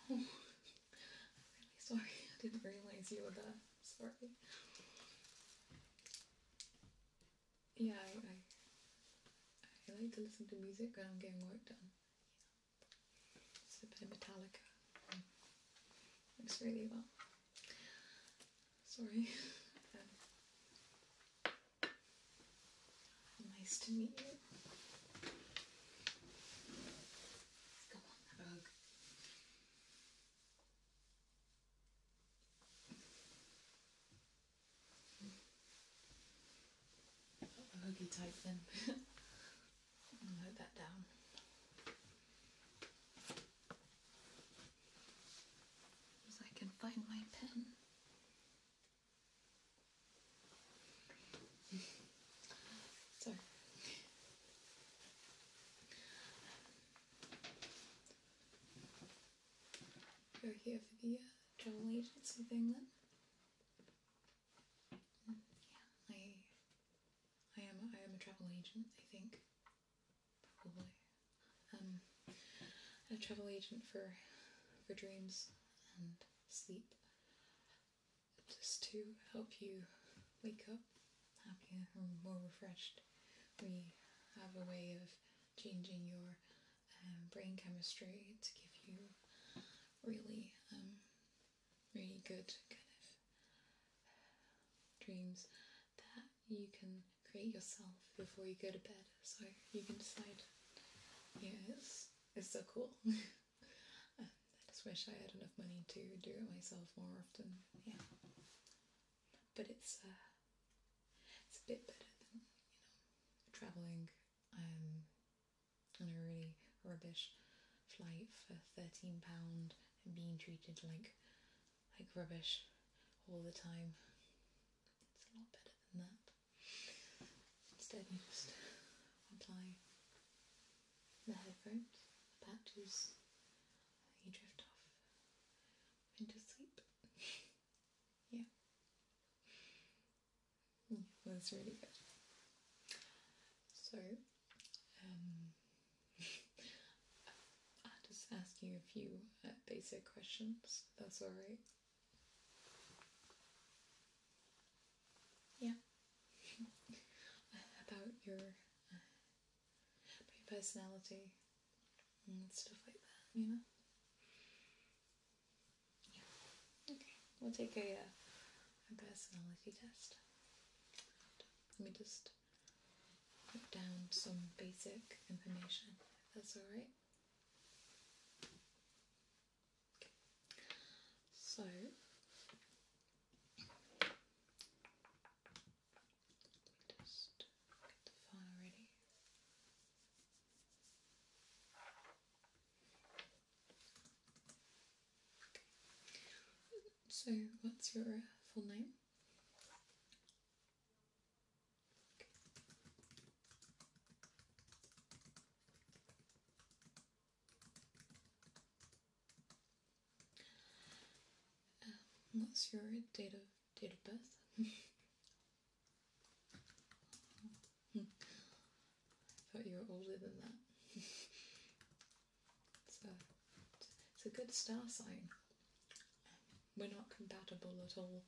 Oh, I'm really sorry. I didn't realize you were there. sorry. Yeah, I, I, like to listen to music when I'm getting work done. It's a bit of Metallica. Mm. It's really well. Sorry. Um, Nice to meet you. Come on, hug. Oh, a type then. note that down. As I can find my pen so we are here for the uh, travel agency thing then? Mm, yeah, I, I am, I am a travel agent. I think probably. Um, a travel agent for, for dreams and sleep just to help you wake up happier and more refreshed. We have a way of changing your um, brain chemistry to give you really, um, really good kind of dreams that you can create yourself before you go to bed. So you can decide, yes, it's so cool. I just wish I had enough money to do it myself more often. Yeah, but it's uh, it's a bit better than you know traveling um, on a really rubbish flight for thirteen pound and being treated like like rubbish all the time. It's a lot better than that. Instead you just apply the headphones, the patches, you drift off into sleep. yeah. That's really good. So, um, i am just asking a few uh, basic questions, that's alright. Yeah. about your, uh, your personality and stuff like that, you know? Yeah. Okay, we'll take a, uh, a personality test. Let me just put down some basic information, that's alright. So just get the fire ready. So, what's your uh, full name? Um, what's your date of date of birth? I thought you were older than that. it's, it's a good star sign. We're not compatible at all.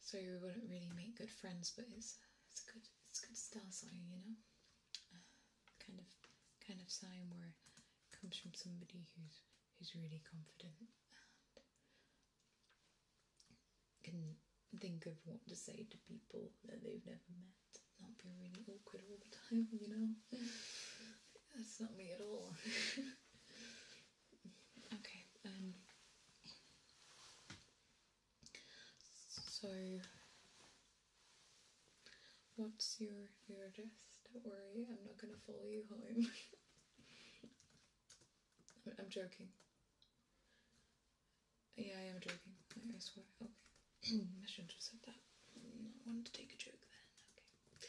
So we wouldn't really make good friends, but it's it's a good it's a good star sign, you know. Uh, kind of kind of sign where it comes from somebody who's who's really confident and can think of what to say to people that they've never met, not be really awkward all the time, you know. That's not me at all. Okay, um, so what's your your address? Don't worry, I'm not gonna follow you home. I'm joking. Yeah, I am joking. I swear. Okay, I shouldn't have said that. I wanted to take a joke then. Okay.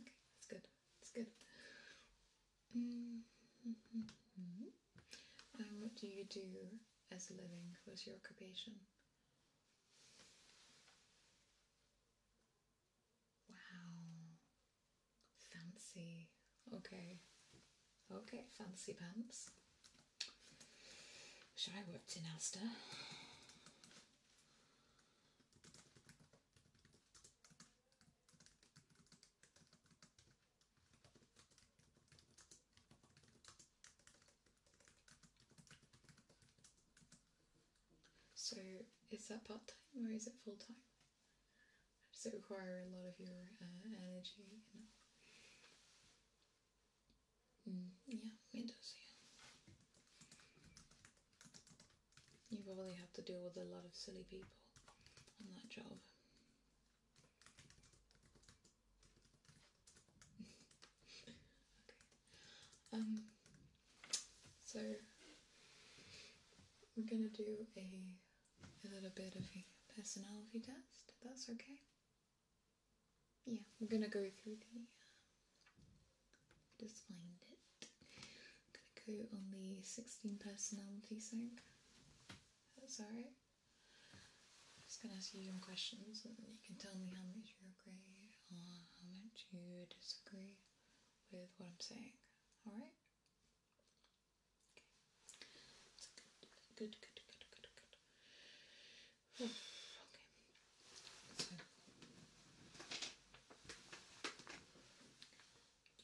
Okay, that's good. That's good. Mm what do you do as a living? What's your occupation? Wow. Fancy. Okay. Okay, fancy pants. Should I worked in Asda? So is that part time or is it full time? Does it require a lot of your uh, energy? You know? Mm, yeah, it does, yeah. You probably have to deal with a lot of silly people on that job. okay. Um, so we're gonna do a, a little bit of a personality test, if that's okay yeah, we're gonna go through the. Uh, just find it. I'm gonna go on the 16 personality thing. That's Just gonna ask you some questions, and you can tell me how much you agree or how much you disagree with what I'm saying. All right? Good, good, good, good, good do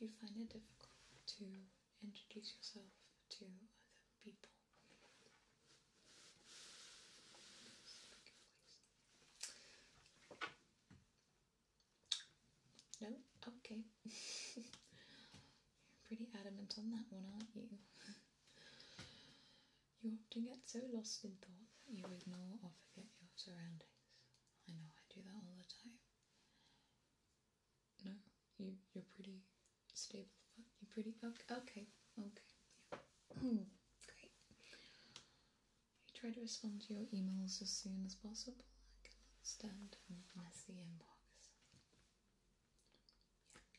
you find it difficult to introduce yourself to other people? No? Okay. You're pretty adamant on that one, aren't you? You often get so lost in thought that you ignore or forget your surroundings. I know I do that all the time. No, you you're pretty stable. You're pretty okay. Okay, okay. Yeah. Hmm, great. You try to respond to your emails as soon as possible. I cannot stand a messy inbox.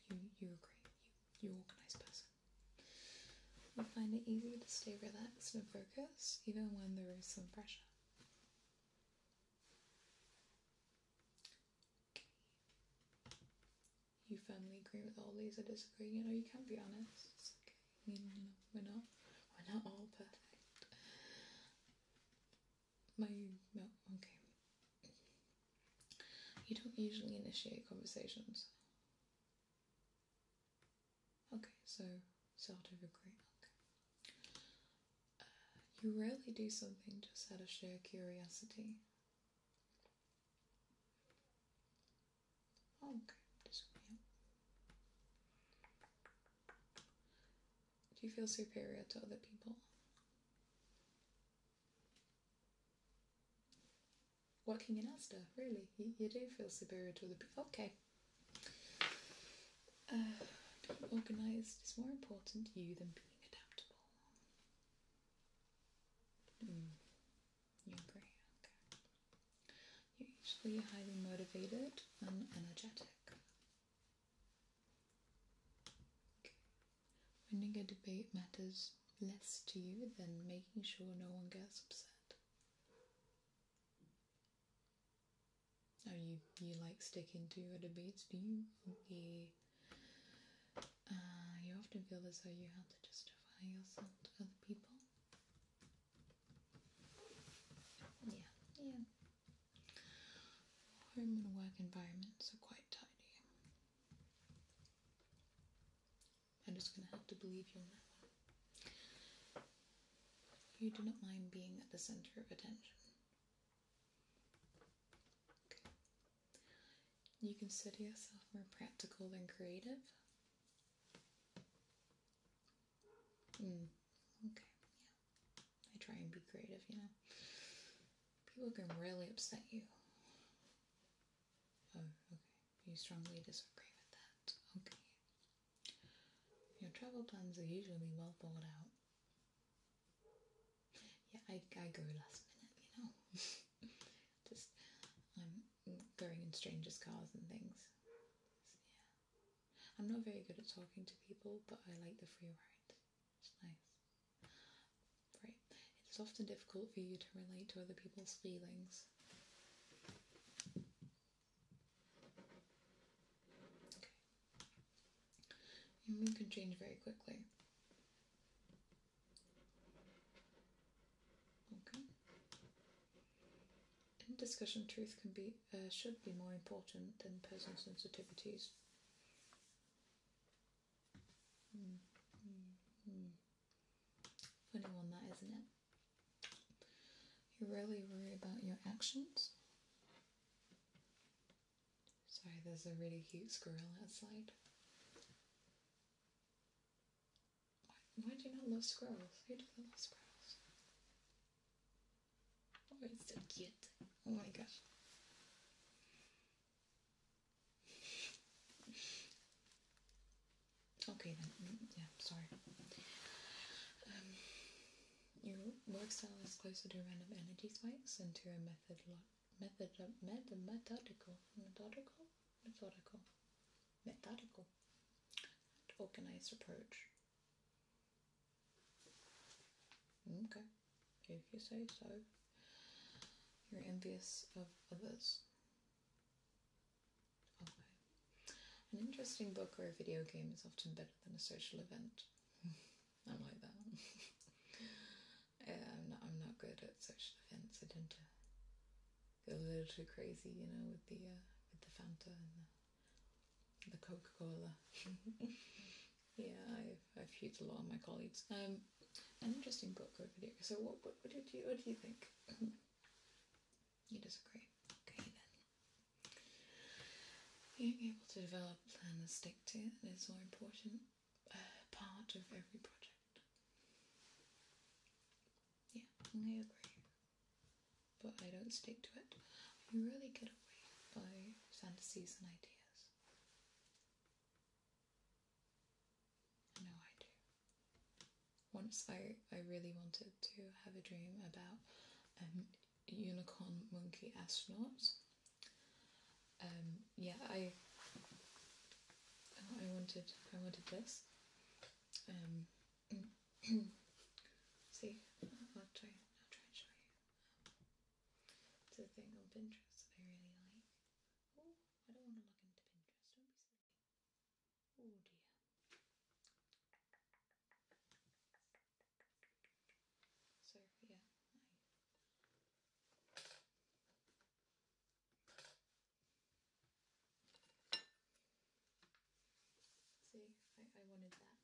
Yeah, you, you agree. You, organized person. You find it easy to stay relaxed and focused even when there is some pressure. You firmly agree with all these I disagree. You know, you can't be honest. okay. we're not, we're not all perfect. My, no, okay. You don't usually initiate conversations. Okay, so start over great. Okay. Uh, you rarely do something just out of sheer curiosity. Oh, okay, just yeah. Do you feel superior to other people? working in Asta, really. You, do feel superior to other people. Okay. Uh, being organised is more important to you than being adaptable. Hmm. You agree? You're usually highly motivated and energetic. Winning a debate matters less to you than making sure no one gets upset. Oh, you, you like sticking to your debates, do you? Uh, you often feel as though you have to justify yourself to other people. Yeah, yeah. Home and work environments are quite tidy. I'm just going to have to believe you on that one. You do not mind being at the center of attention. You consider yourself more practical than creative? Mm, okay, yeah. I try and be creative, you know. People can really upset you. Oh, okay. You strongly disagree with that. Okay. Your travel plans are usually well thought out. Yeah, I, I go last minute, you know. Just, I'm going in strangers' cars and things. yeah. I'm not very good at talking to people, but I like the free ride. It's nice. Right. It's often difficult for you to relate to other people's feelings. Okay. Your mood can change very quickly. Okay. In discussion, truth can be uh, should be more important than personal sensitivities. Funny one that, isn't it? You really worry about your actions. Sorry, there's a really cute squirrel outside. Why, why do you not love squirrels? Who doesn't love squirrels? Oh, it's so cute. Oh my gosh. Okay then, mm, yeah, sorry. Um, your work style is closer to random energy spikes than to a method, method, uh, method, methodical, methodical, methodical, methodical, organized approach. Okay if you say so. You're envious of others. Okay. An interesting book or a video game is often better than a social event. I'm like that. I'm not. good at social events. I tend to get a little too crazy, you know, with the uh, with the Fanta and the Coca Cola. Yeah, I've, I've heard a lot of my colleagues. Um, an interesting book over video. So, what, what, what, did you, what do you think? you disagree. Okay, then. Being able to develop and stick to it is an important uh, part of every project. Yeah, I agree. But I don't stick to it. I really get away by fantasies and ideas. I I do. Once I, I really wanted to have a dream about unicorn monkey astronauts. Um, yeah, I I wanted I wanted this. Um, see, I'll try I'll try and show you. It's a thing on Pinterest that I really like. Oh, I don't want to look into Pinterest, don't be silly. Oh dear. So, yeah, See, I, I wanted that.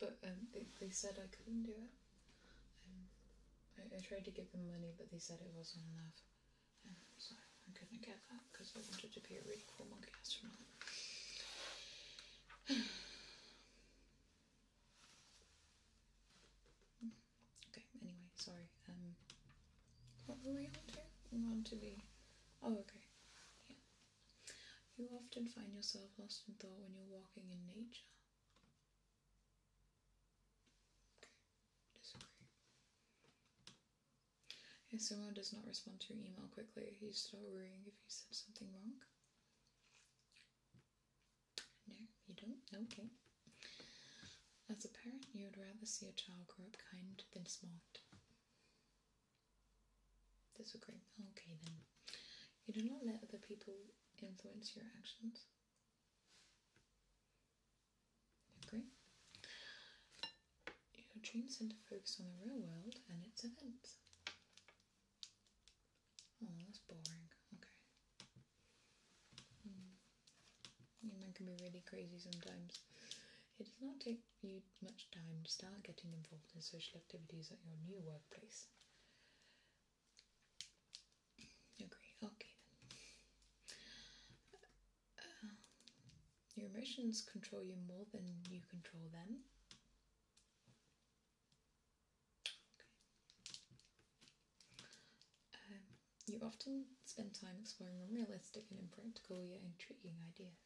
But um, they, they said I couldn't do it. Um, I, tried to give them money, but they said it wasn't enough. Um, so I couldn't get that because I wanted to be a really cool monkey astronaut. Hmm anyway, sorry. Um, what were we on to? We're on to the. Oh, okay. Yeah. You often find yourself lost in thought when you're walking in nature. disagree. If someone does not respond to your email quickly, you start worrying if you said something wrong. No, you don't? Okay. As a parent, you would rather see a child grow up kind than smart. Disagree. Okay, then. You do not let other people influence your actions. Agree. Your dreams tend to focus on the real world and its events. Oh, that's boring. Okay. Hmm. Human can be really crazy sometimes. It does not take you much time to start getting involved in social activities at your new workplace. Agree. Okay uh, your emotions control you more than you control them. Um, you often spend time exploring unrealistic and impractical yet intriguing ideas.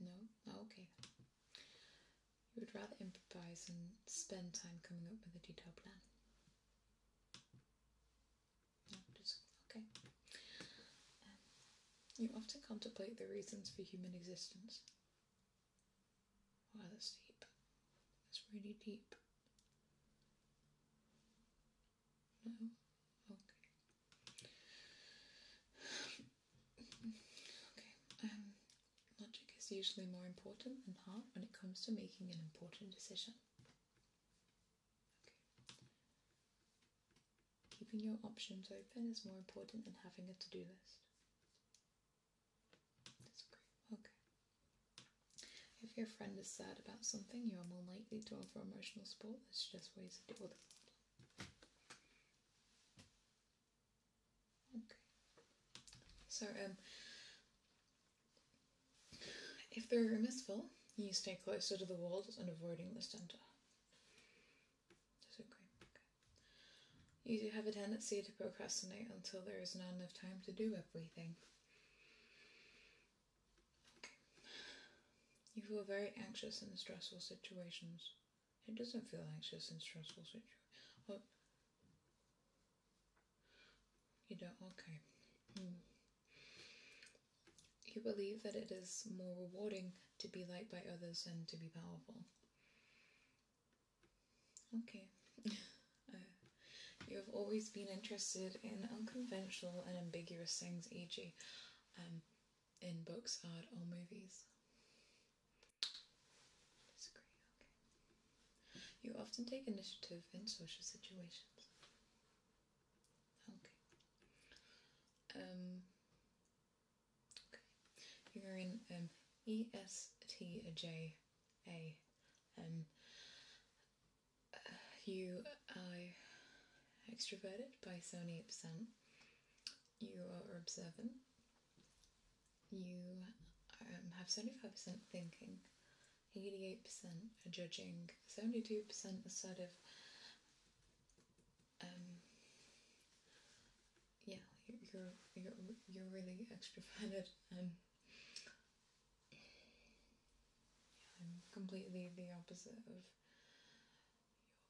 No? Oh, okay. You would rather improvise and spend time coming up with a detailed plan. just, okay. Um, you often contemplate the reasons for human existence. Wow, that's deep. It's really deep. No? Okay. okay, um, logic is usually more important than heart when it comes to making an important decision. Keeping your options open is more important than having a to do list. If your friend is sad about something, you are more likely to offer emotional support. That's just ways to deal with it. Okay. So, um, if the room is full, you stay closer to the walls and avoiding the center. Disagree. Okay. You do have a tendency to procrastinate until there is not enough time to do everything. You feel very anxious in stressful situations. It doesn't feel anxious in stressful situations? Oh. You don't? Okay. Hmm. You believe that it is more rewarding to be liked by others than to be powerful. Okay. Uh, you have always been interested in unconventional and ambiguous things, e.g., um, in books, art, or movies. Disagree. Okay. You often take initiative in social situations. Okay. Um. Okay. You're in um, ESTJ a N. Um, uh, you are extroverted by so many percent. You are observant. You um, have 75% thinking, 88% judging, 72% assertive. Um, yeah, you're, you're, you're really extroverted and um, I'm completely the opposite of your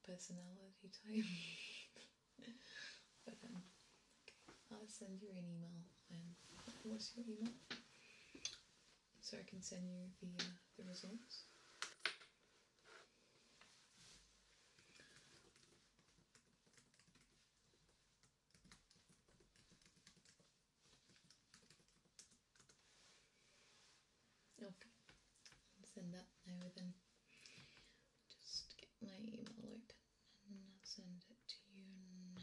personality type. but um, I'll send you an email. And um, what's your email? So I can send you the uh, the results. Okay, I'll send that now then. Just get my email out and I'll send it to you now.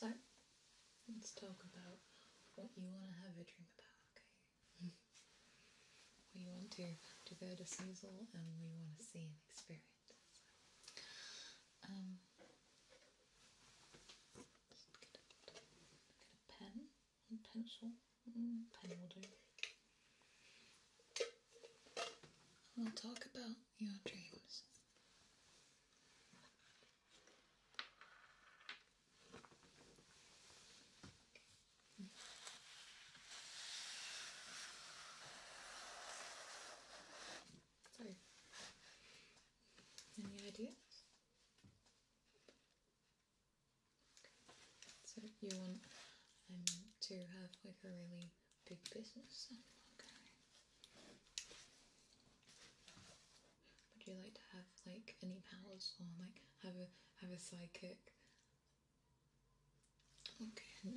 So, let's talk about what you want to have a dream about, okay? we want to, to go to Snoozle and we want to see and experience. um, get a pen and pencil. Mm, pen will do. We'll talk about your dreams. Mm. any ideas? So you want um, to have like a really big business? Okay. Would you like to have like any powers or like have a have a psychic? Okay,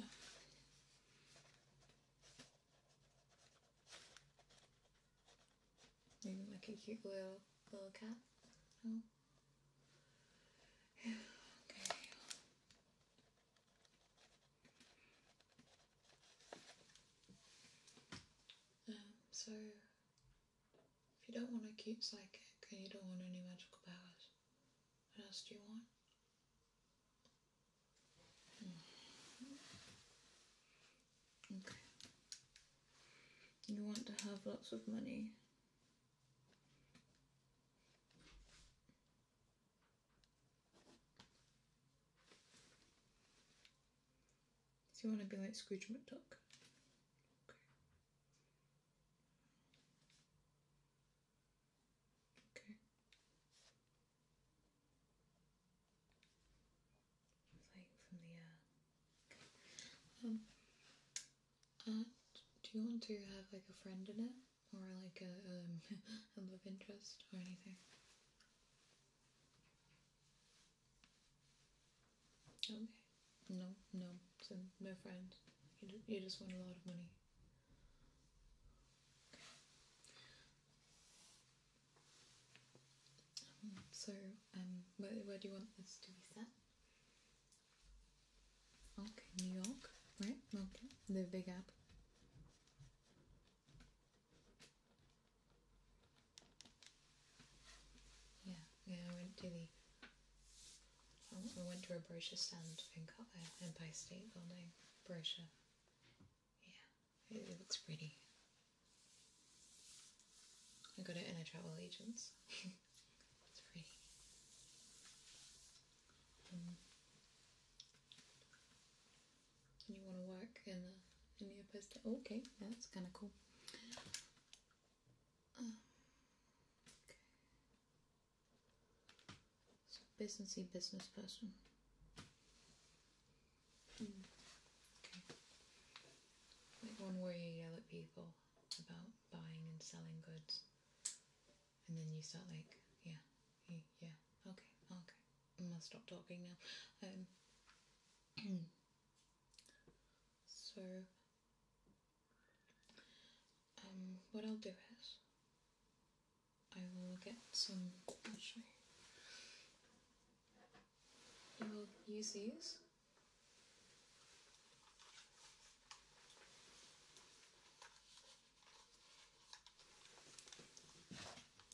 Maybe like a cute little little cat? Um, so, if you don't want to keep psychic and you don't want any magical powers, what else do you want? Hmm. Okay. You want to have lots of money. Do you want to be like Scrooge McDuck. Okay. Okay like from the uh, um, uh do you want to have like a friend in it or like a um a love interest or anything okay no no so no friend you, you just want a lot of money so, um, where, where do you want this to be set? Okay, New York, right? the Big app. Yeah, yeah, I went to the. I went to a brochure stand in uh, Empire State Building. Brochure. Yeah, it looks pretty. I go to in travel agent's. Hmm. you want to work in the in the opposite? okay, yeah, that's kind of cool. Um, so businessy business person. Hmm. Like one where you yell at people about buying and selling goods, and then you start like, yeah, yeah, okay, okay. I gonna stop talking now. Um. so. Um, what I'll do is I will get some actually you will use these.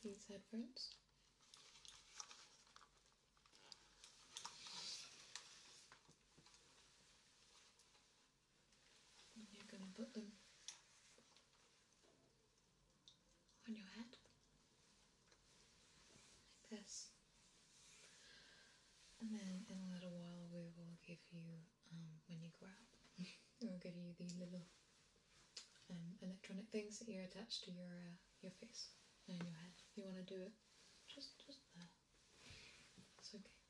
These headphones. you're going to put them on your head like this and then in a little while we will give you um, when you grab we'll give you the little um, electronic things that you are attached to your uh, your face and your head If you want to do it just just there it's okay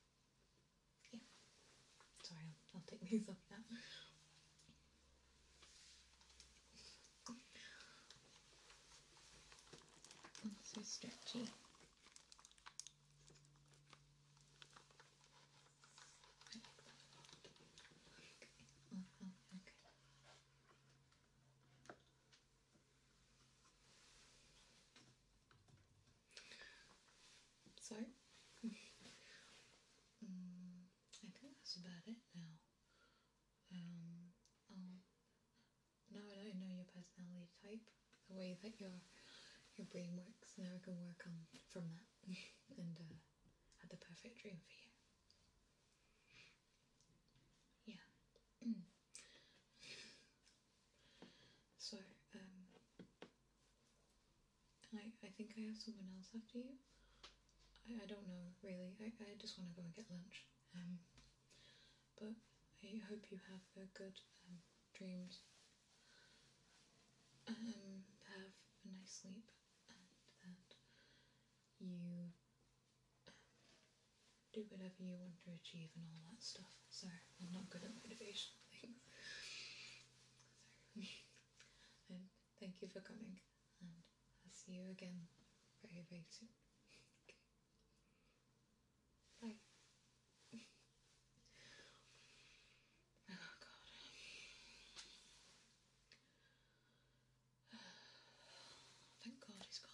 yeah sorry I'll take these off now so stretchy. Okay. okay. So, mm, I think that's about it now. Um, I'll, oh, now I know your personality type, the way that your your brain works, now I can work on from that and uh, have the perfect dream for you. Yeah. so, um, I I think I have someone else after you. I, I don't know really. I, I just want to go and get lunch. Um, but I hope you have a good um, dreams. Um, have a nice sleep, and that you um, do whatever you want to achieve and all that stuff. Sorry, I'm not good at motivational things. Thank you for coming, and I'll see you again very, very soon. Bye. oh, God. Thank God he's gone.